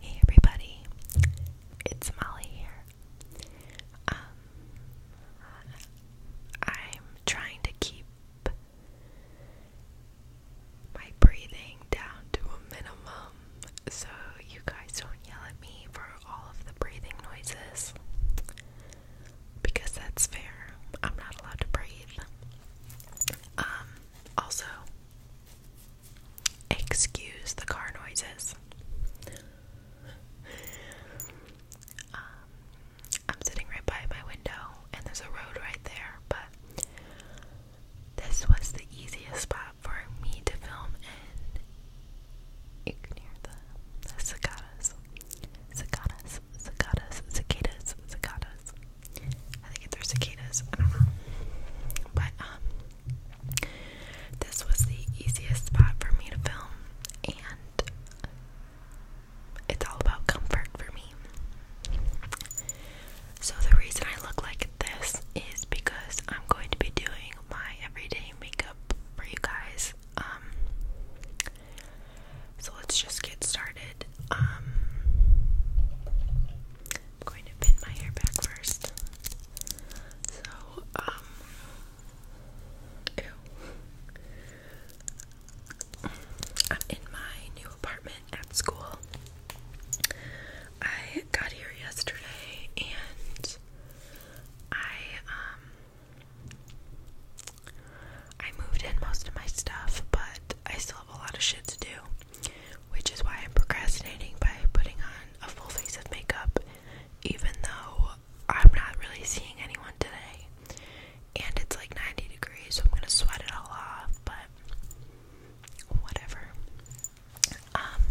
Hey everybody, it's Molly here. Um, I'm trying to keep my breathing down to a minimum so you guys don't yell at me for all of the breathing noises because that's fair. I'm not allowed to breathe. Um, also, Excuse the car noises. Um, I'm sitting right by my window, and there's a road right there, but this was the easiest spot for me to film in. You can hear the cicadas, cicadas, cicadas, cicadas, cicadas. I think they're cicadas. I don't know. But um, this was the easiest spot for me to film, and it's all about comfort for me. So the reason I look like this is because I'm going to be doing my everyday makeup for you guys. Um, so let's just get started. Um, I'm going to pin my hair back first. So, um, I'm in my new apartment at school. I got here yesterday and I, um, I moved in most of my stuff, but I still have a lot of shit to do which is why I'm procrastinating by putting on a full face of makeup, even though I'm not really seeing anyone today. And it's like 90 degrees, so I'm gonna sweat it all off, but whatever. Um,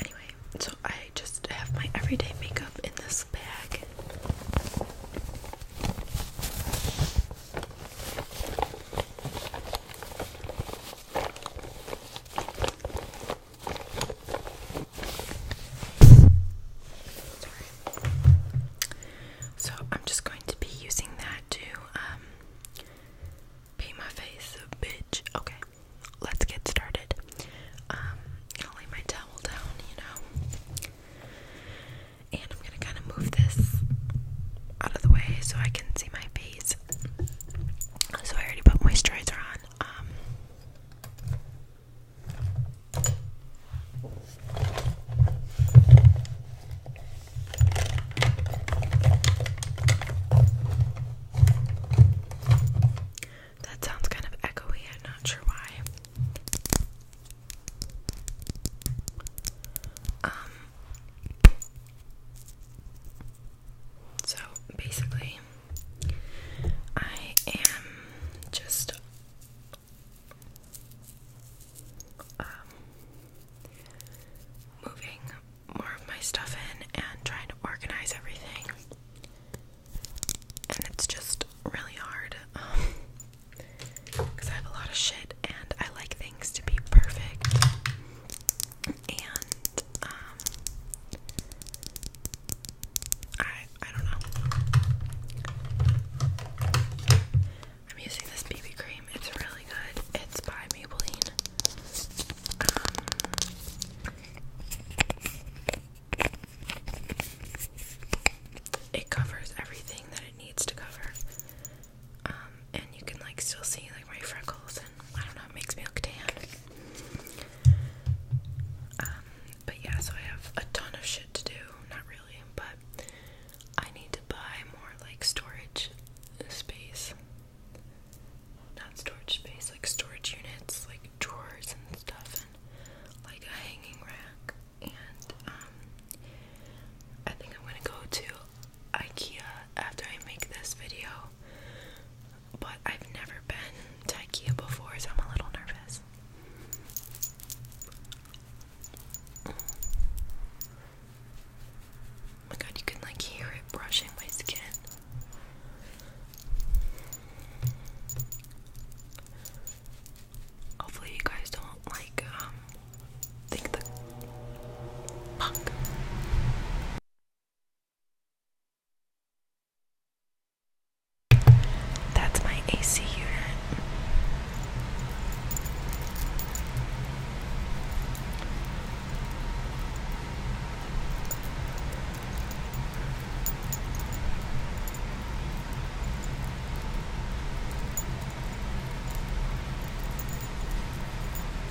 anyway, so I just have my everyday makeup in this bag. So I'm just going to be using that to um, paint my face a bitch. Okay, let's get started. I'm um, gonna lay my towel down, you know. And I'm gonna kinda move this out of the way so I can see my face. So I already put moisturizer on. Um, that sounds kind of echoey, I'm not sure why. Um, so basically, I am just um, moving more of my stuff in and trying to organize everything. And it's just really hard because um, I have a lot of shit and I like things to be perfect and um I I don't know. I'm using this BB cream. It's really good. It's by Maybelline. Um, it covers everything that it needs to cover. Um, and you can like still see like my freckles and I don't know, it makes me look tan. Um, but yeah, so I have a ton of shit to do. Not really, but I need to buy more like storage space. Not storage space, like storage units, like drawers and stuff, and like a hanging rack. And um, I think I'm gonna go to IKEA after I make this video, but I've never been to IKEA before, so I'm a little nervous. Oh my god, you can like hear it brushing my skin. Hopefully, you guys don't like um think the That's my AC unit.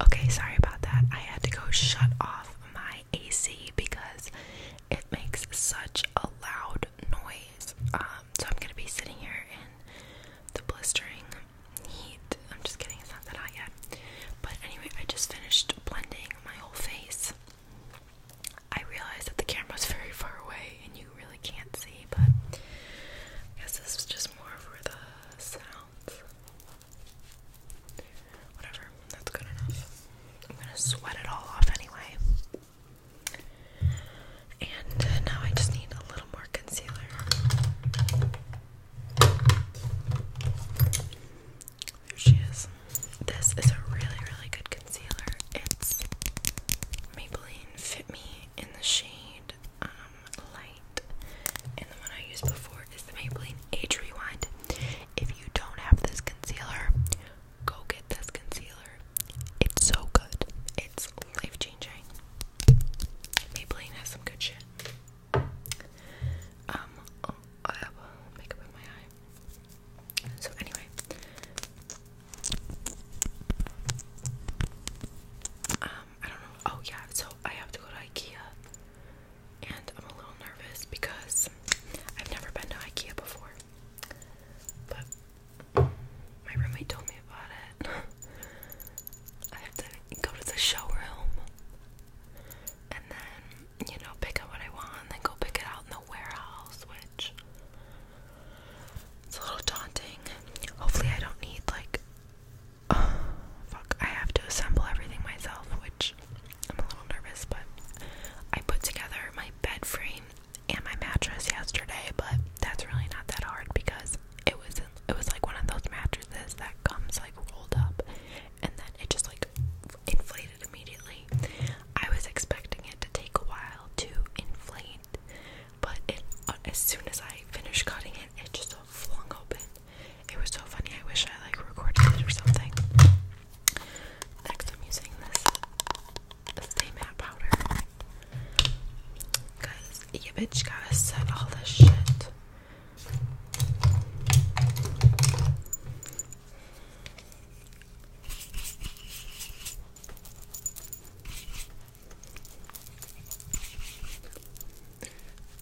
Okay, sorry about that. I had to go shut off my AC because it makes such a loud noise. Um, so I'm gonna be sitting here in the blistering heat. I'm just kidding, it's not that hot yet. But anyway, I just finished blending my whole face. I realized that the camera camera's very far away and you really can't see, but I guess this was just more for the sounds. Whatever, that's good enough. I'm gonna sweat it all off anyway. And now I just need a little more concealer. There she is. This is a really, really good concealer. It's Maybelline Fit Me in the shade um, Light. And the one I used before is the Maybelline Age Rewind. If you don't have this concealer, go get this concealer. It's so good. It's life changing. Maybelline has some good shit. Um, oh, I have makeup in my eye. So anyway, um, I don't know. Oh yeah, so I have to go to IKEA, and I'm a little nervous because I've never been to IKEA before. But my roommate told me about it. I have to go to the showroom and then, you know, pick up what I want then go pick it out in the warehouse, which it's a little daunting. Hopefully, I don't need like. fuck, I have to assemble everything myself, which I'm a little nervous, but I put together my bed frame and my mattress yesterday, but that's really not that hard because it was it was like one of those mattresses that comes like rolled up and then it just like inflated immediately. I was expecting it to take a while to inflate, but uh, as soon as I finished cutting it, it just flung open. It was so funny. I wish I like recorded it or something. Next, I'm using this Stay matte powder. Cause you bitch gotta set all this shit.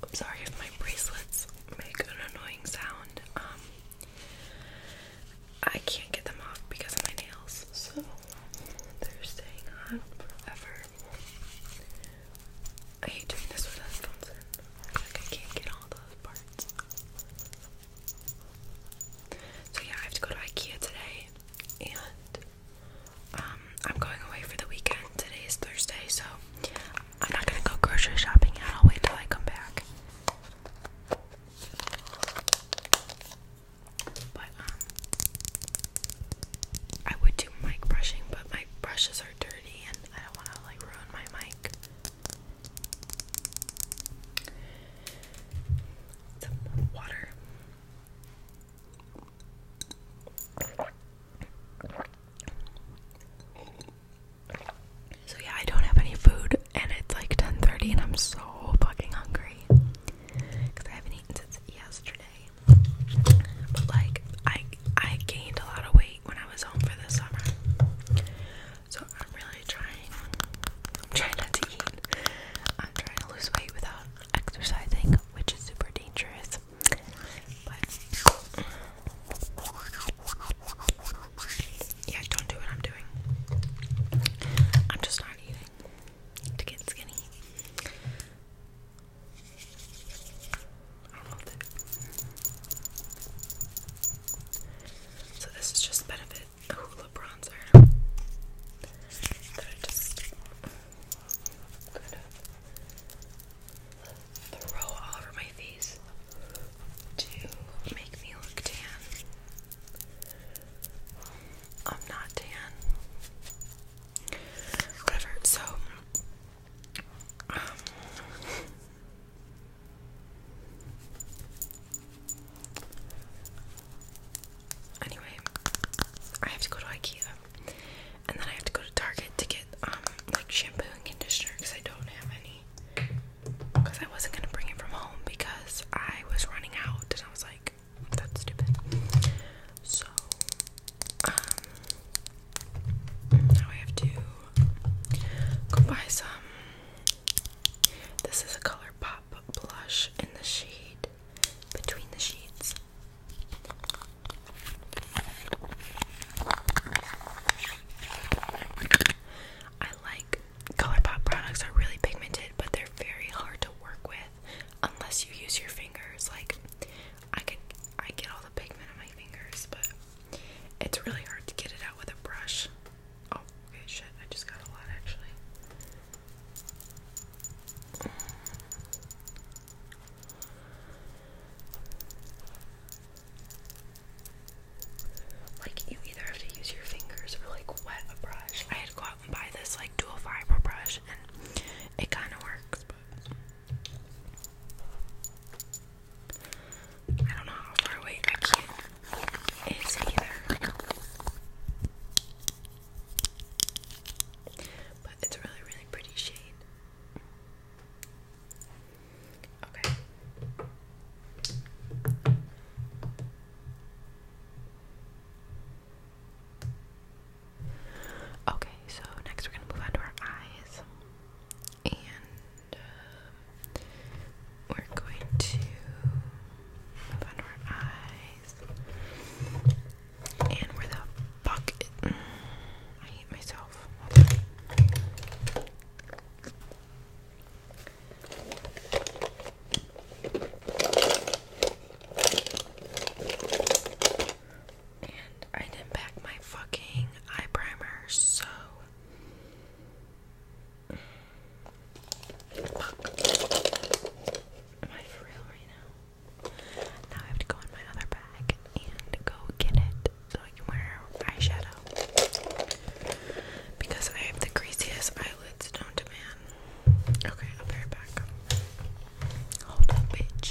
I'm sorry if my bracelets make an annoying sound. Um, I can't get them off because of my nails, so they're staying on forever. I hate doing this with headphones in. Like I can't get all those parts. So yeah, I have to go to IKEA today and um, I'm going away for the weekend. Today is Thursday, so I'm not gonna go grocery shopping yet. I'll wait till I come back. But um I would do mic brushing, but my brushes are dirty and I don't want to like ruin my mic. Some water. So yeah, I don't have any food and it's like 10:30 and I'm so fucking hungry cuz I haven't eaten since yesterday. But like I I gained a lot of weight when I was home for the summer. So I'm really trying trying not to eat. I'm trying to lose weight without exercising, which is super dangerous. Yeah, don't do what I'm doing. I'm just not eating to get skinny. So this is just benefit the hula bronzer that I just kind of throw all over my face to make me look tan. I'm not tan. Whatever, so um, Anyway, I have to go to IKEA and then I have to go to Target to get um, like shampoo and conditioner because I don't have any because I wasn't gonna bring it from home because I was running out and I was like, that's stupid. So, um, now I have to go buy some. This is a color pop blush in the shade Between the Sheets. I like Color pop products are really pigmented, but they're very hard to work with unless you use your fingers. Like I can, I get all the pigment on my fingers, but it's really hard to get it out with a brush. Oh, shit, I just got a lot actually. Like, either have to use your fingers or like wet a brush. I had to go out and buy this like dual fiber brush and it kind of works, but I don't know how far away I can It's either. But it's a really, really pretty shade. Okay. Okay, so next we're gonna move on to our eyes, and um, we're going to move on to our eyes. And where the fuck? It, mm, I hate myself. And I didn't pack my fucking eye primer, so Fuck. Am I for now? Now I have to go in my other bag and go get it so I can wear eyeshadow. Because I have the greasiest Okay, I'll be right back. Hold up, bitch.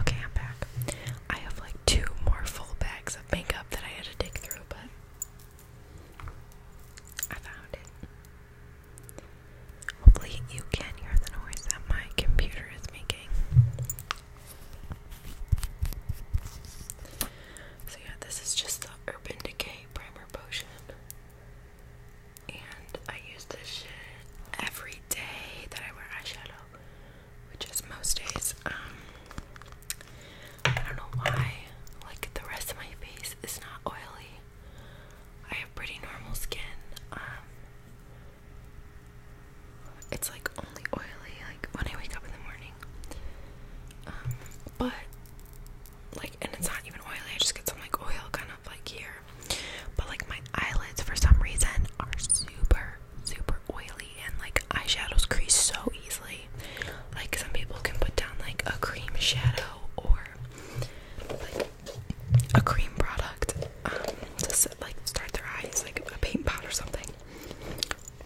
Okay, I'm back. I have like two more full bags of makeup that I had to dig through, but I found it. Hopefully, you can hear the noise that my computer is making. So, yeah, this is just the Urban Decay Primer Potion. And I use this every day that I wear eyeshadow, which is most days. Um, I don't know why, like the rest of my face is not oily. I have pretty normal skin. Um, it's like only oily like when I wake up in the morning. Um, but like, and it's not even oily. I just get some like oil kind of like here. But like my eyelids for some reason are super, super oily and like eyeshadows crease so easily. Like some people can put down like a cream shadow or a cream product um, to set, like start their eyes, like a paint pot or something.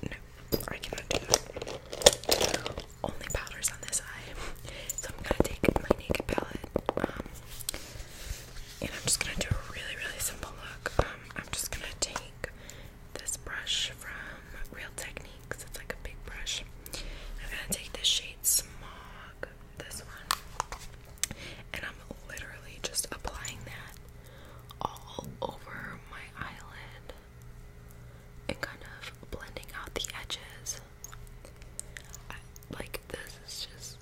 No, I cannot do that. Only powders on this eye. So I'm gonna take my naked palette, um, and I'm just gonna do a really, really simple look. Um, I'm just gonna take this brush from Real Techniques. It's like a big brush. I'm gonna take the shade Smog, this one, and I'm literally just applying that all over my eyelid and kind of blending out the edges. like, this is just.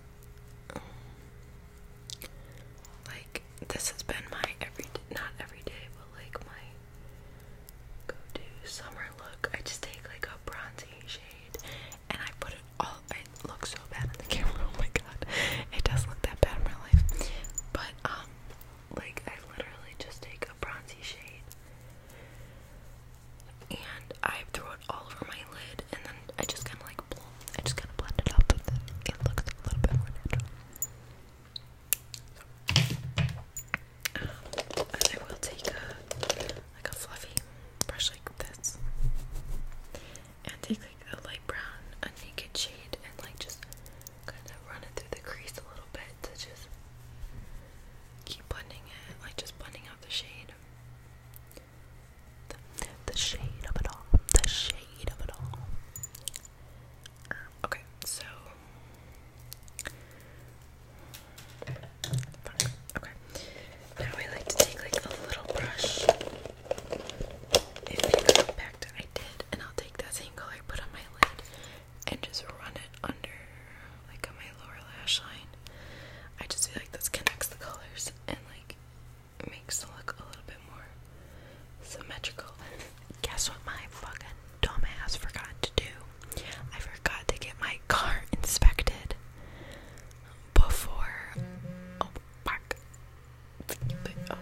like, this has been my everyday, not everyday, but like my go to summer look. I just take like a bronzy shade and I put it all. It looks so bad on the camera. Oh my god, it does look that bad in my life. But um, like I literally just take a bronzy shade and I throw it all over my lid, and then I just kind of like I just kind of blend it out It looks a little bit more natural. Um, I will take like a fluffy brush like this, and take like the light brown, a naked shade, and like just kind of run it through the crease a little bit to just keep blending it, like just blending out the shade. the shade of it all. The shade of it all. Um, okay, so Okay. Now I like to take like a little brush. If you compact I did, and I'll take that same color I put on my lid and just run it under like on my lower lash line. I just feel like this connects the colors and like makes the look a little bit more symmetrical. guess what my fucking dumbass forgot to do? I forgot to get my car inspected before. Oh, fuck. Oh,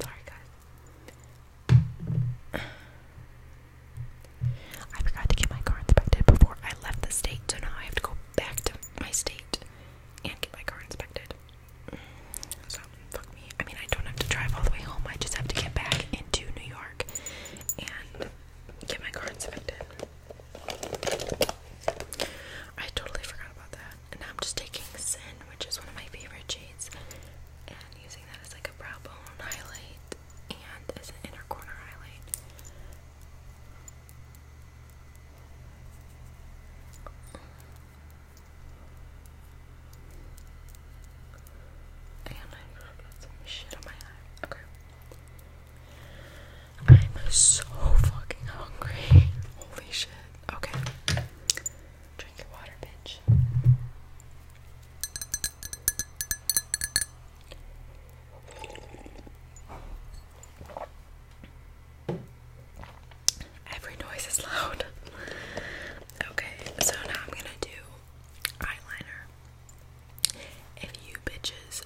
sorry, guys. I forgot to get my car inspected before I left the state, so now I have to go back to my state and get my car inspected. So, fuck me. I mean, I don't have to drive all the way home. I just have to get back into New York and get my car inspected. I totally forgot about that. And now I'm just taking Sin, which is one of my favorite shades, and using that as like a brow bone highlight and as an inner corner highlight. And I got some shit on my eye. Okay. I'm so fucking hungry. Holy shit. Okay. Drink your water, bitch. Every noise is loud. Okay, so now I'm gonna do eyeliner. If you bitches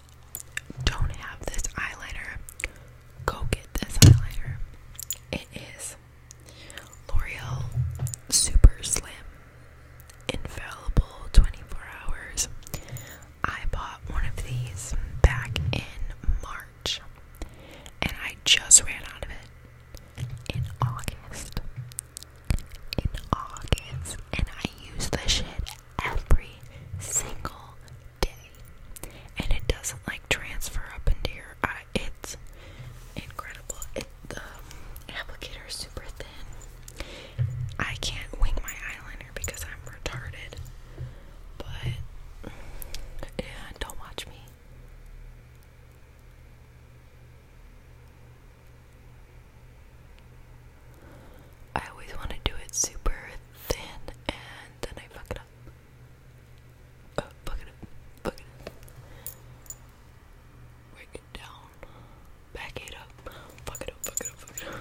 don't have this eyeliner, go get this eyeliner. It is L'Oreal Super Slim Infallible 24 Hours. I bought one of these back in March and I just ran out of it in August. In August. And I use the shit every single day. And it doesn't like transfer up into your eye. It's incredible. It, the applicator is super thin. I can't wing my eyeliner because I'm retarded. But yeah, don't watch me. I always want to do it super thin and then I fuck it up. Oh, fuck it up. Fuck it Break it down. Back it up. Fuck it up, fuck it up, fuck it up.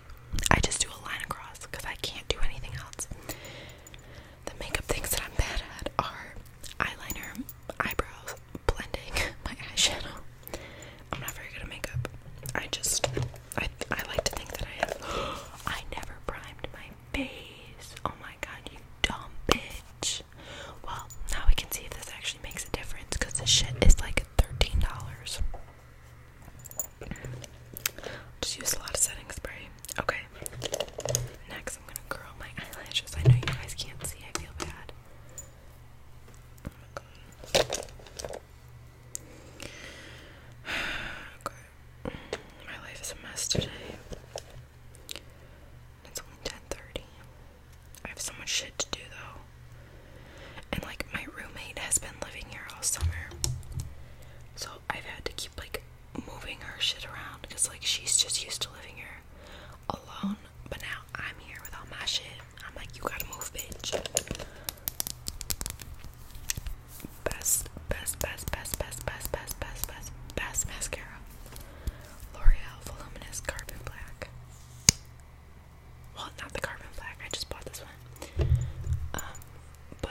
I just do a line across because I can't do anything else. The makeup things that I'm bad at are eyeliner, eyebrows, blending, my eyeshadow. I'm not very good at makeup. I just, I, I like to think that I have. I never primed my face. Oh my god, you dumb bitch. Well, now we can see if this actually makes a difference because this shit is like $13. Just use a lot of setting spray. Okay. Next, I'm gonna curl my eyelashes. I know you guys can't see. I feel bad. My life is a mess today. It's only 10:30. I have so much shit to do though. And like my roommate has been living here all summer. So I've had to keep like moving her shit around because like she's just used to living here alone. But now I'm here with all my shit. I'm like, you gotta move, bitch. Best, best, best, best, best, best, best, best, best, best mascara. L'Oreal Voluminous Carbon Black. Well, not the carbon black. I just bought this one. Um, but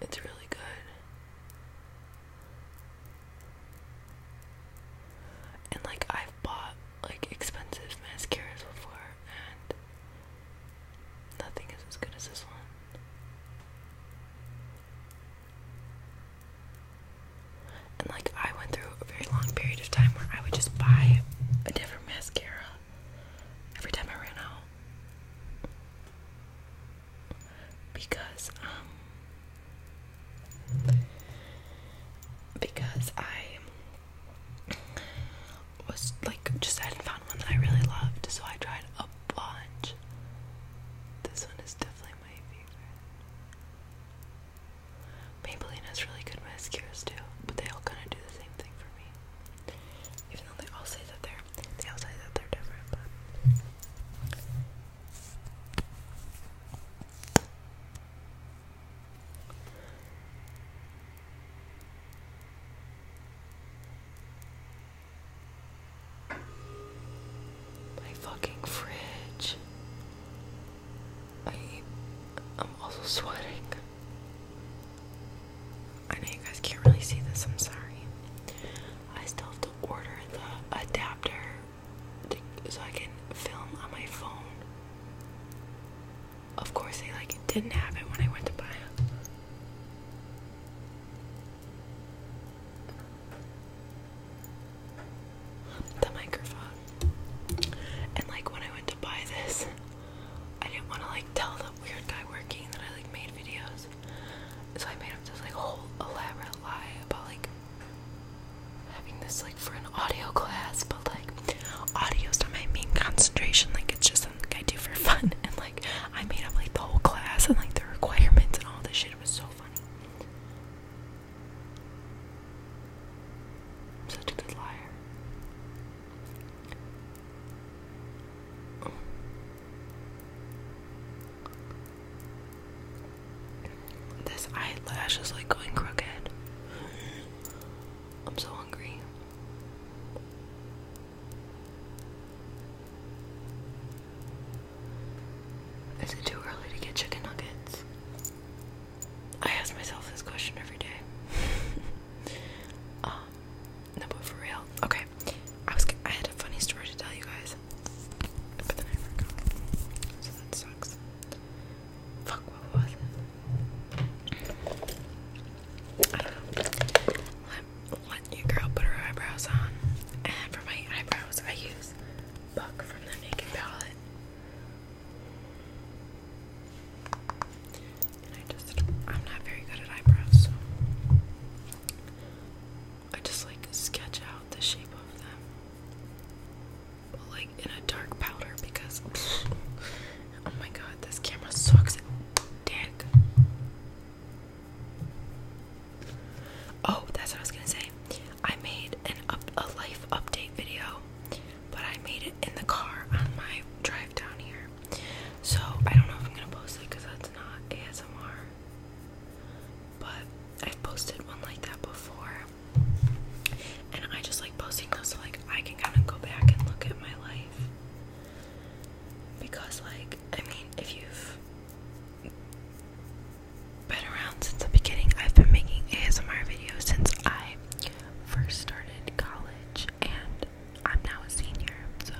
it's really good. And like I've bought like expensive mascaras before and nothing is as good as this one. And like I went through a very long period of time where I would just buy a different mascara every time I ran out because um because I was like just I hadn't found one that I really loved, so I tried a bunch. This one is definitely my favorite. Maybelline has really good mascaras too, but they all kind of do the same thing for me. Even though they all say that they're they all say that they're different, but my fucking fridge. I I'm also sweating. I know you guys can't really see this, I'm sorry. I still have to order the adapter so I can film on my phone. Of course, they like didn't have it when I went to buy it. The microphone. And like when I went to buy this, I didn't want to like tell the weird guy working that I like made videos. So I made up this like whole elaborate lie about like having this like for an audio class, but like audio's not my main concentration, like it's just something I do for fun and like I made up like the whole class and like the requirements and all this shit. was so funny. such a good liar. This eyelash is like going crooked. I'm so hungry. Is it too early to get chicken nuggets? I ask myself this question every day. um, no, but for real. Okay. I was I had a funny story to tell you guys. But then I forgot. So that sucks. Fuck, what was it? let your girl put her eyebrows on. And for my eyebrows, I use Buck from the Naked Palette. I just, I'm not very good at eyebrows, I just like sketch out the shape of them. like in a dark powder because, oh my god, this camera sucks dick. Oh, that's what I was gonna say. I made an up a life update video, but I made it in the car on my drive down here. So I don't know if I'm gonna post it because that's not ASMR. But I've posted one like that before. And I just like posting those so like I can kind of go back and look at my life. Because like I mean if you've been around since the beginning, I've been making ASMR videos since I first started college and I'm now a senior, so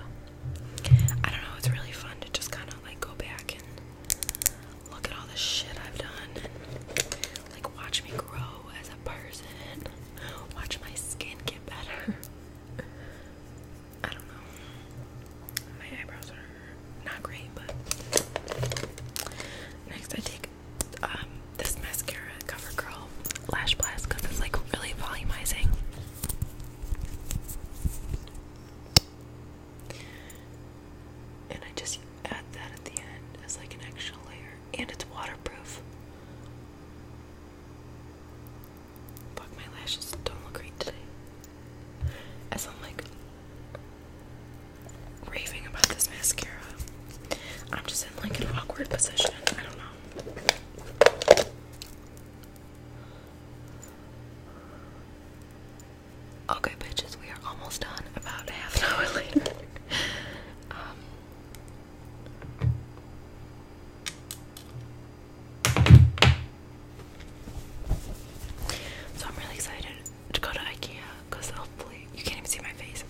I don't know. It's really fun to just kind of like go back and look at all the shit I've done and like watch me grow as a person, watch my skin get better. I don't know. My eyebrows are not great, but next I take um, this mascara CoverGirl Lash Blast because it's like really volumizing. And I just add that at the end as like an extra layer. And it's waterproof. Fuck, my lashes don't look great today. As I'm like raving about this mascara, I'm just in like an awkward position. I don't know. Okay, bitches, we are almost done. About half an hour later. Um, so I'm really excited to go to IKEA because hopefully you can't even see my face.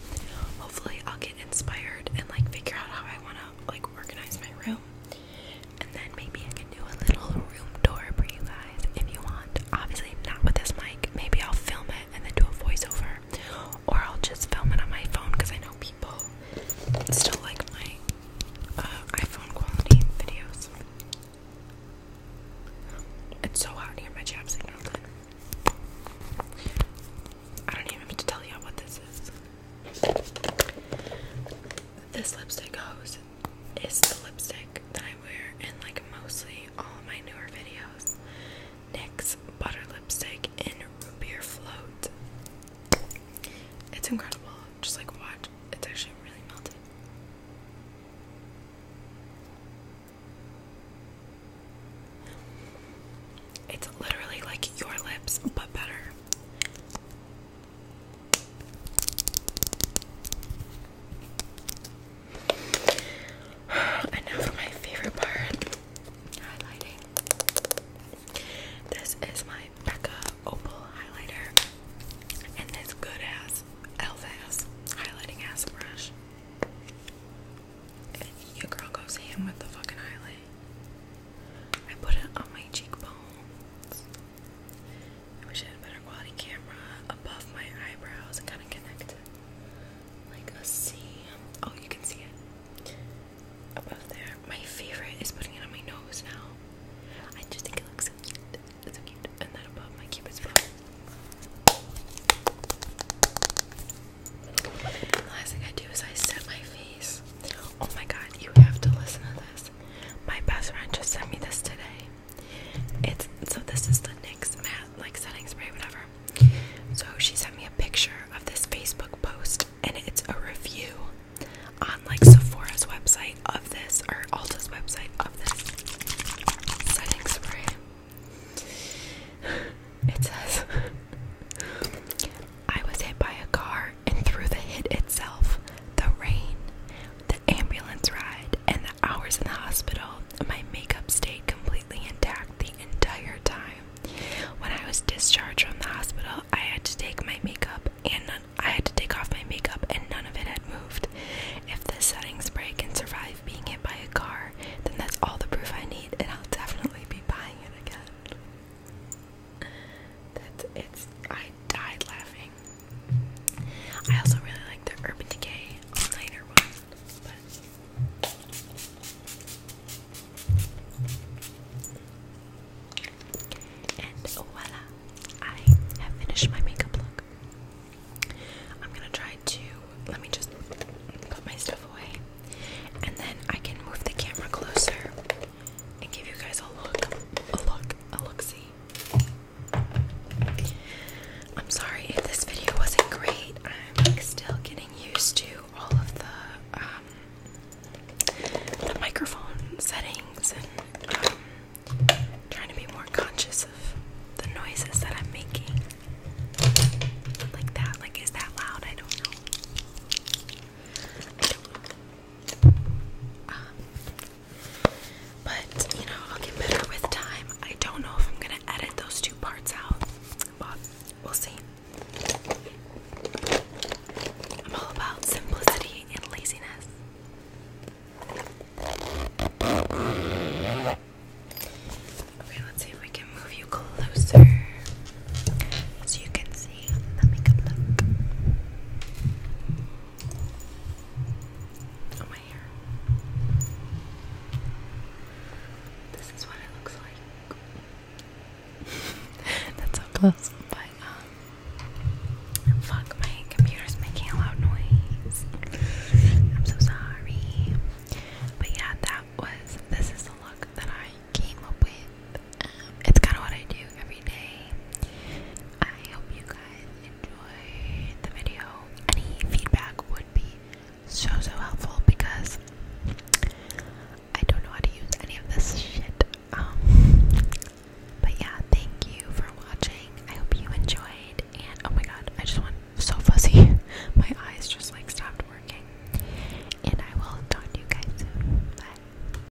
Hopefully I'll get inspired and like figure out how I want to like organize my room. And then maybe I can do a little room tour for you guys if you want. Obviously, not with this mic. Maybe I'll film it and then do a voiceover. Or I'll just film it on my phone because I know people still like my uh, iPhone quality videos. It's so hot here, my job signal's I don't even have to tell you what this is. This lipstick goes is the lipstick that I wear in like mostly all of my newer videos. NYX Butter Lipstick in Root Beer Float. It's incredible. Just like watch. It's actually really melted. It's literally like your lips, but better. And now for my favorite part highlighting. This is my Becca Opal highlighter and this good ass elf highlighting ass brush. And girl goes ham with the fucking highlighter. I put it on my cheekbones. I wish I had a better quality camera above my eyebrows and kind of connect it like a C. Oh, you can see it above there. My favorite is putting it on my nose now. I just think it looks so cute. It's so cute. And then above my cupid's bow. The last thing I do is I set my face. Oh my god, you have to listen to my best friend just sent me this today. It's so this is the NYX matte like setting spray, whatever. So she sent me a picture of this Facebook post and it's a review on like Sephora's website of this or Alta's website of this setting spray. It says I was hit by a car and through the hit itself, the rain, the ambulance ride, and the hours in the hospital, my makeup stayed completely intact the entire time. When I was discharged from the hospital, I had to take my makeup and I had to take off my makeup and none of it had moved. If the setting spray can survive being hit by a car, then that's all the proof I need and I'll definitely be buying it again. That's it's I died laughing. I also really like the Urban Decay All and voila, I have finished my makeup look. I'm gonna try to let me just put my stuff away, and then I can move the camera closer and give you guys a look, a look, a look see. I'm sorry if this video wasn't great. I'm like still getting used to all of the um the microphone settings and um, trying to be more conscious of the noises that I'm making. Like that, like is that loud? I don't know but you know, I'll get better with time. I don't know if I'm gonna edit those two parts out, but we'll see. I'm all about simplicity and laziness. Okay, let's see if we can move you closer so you can see. Let me go look. Oh, my hair. This is what it looks like. That's close, but um, fuck, my computer's making a loud noise. I'm so sorry. But yeah, that was. This is the look that I came up with it's kind of what I do every day. I hope you guys enjoy the video. Any feedback would be so so helpful because I don't know how to use any of this shit. Um, but yeah, thank you for watching. I hope you enjoyed. And oh my god, I just want so fuzzy. my eyes just like stopped working. And I will talk to you guys soon. Bye.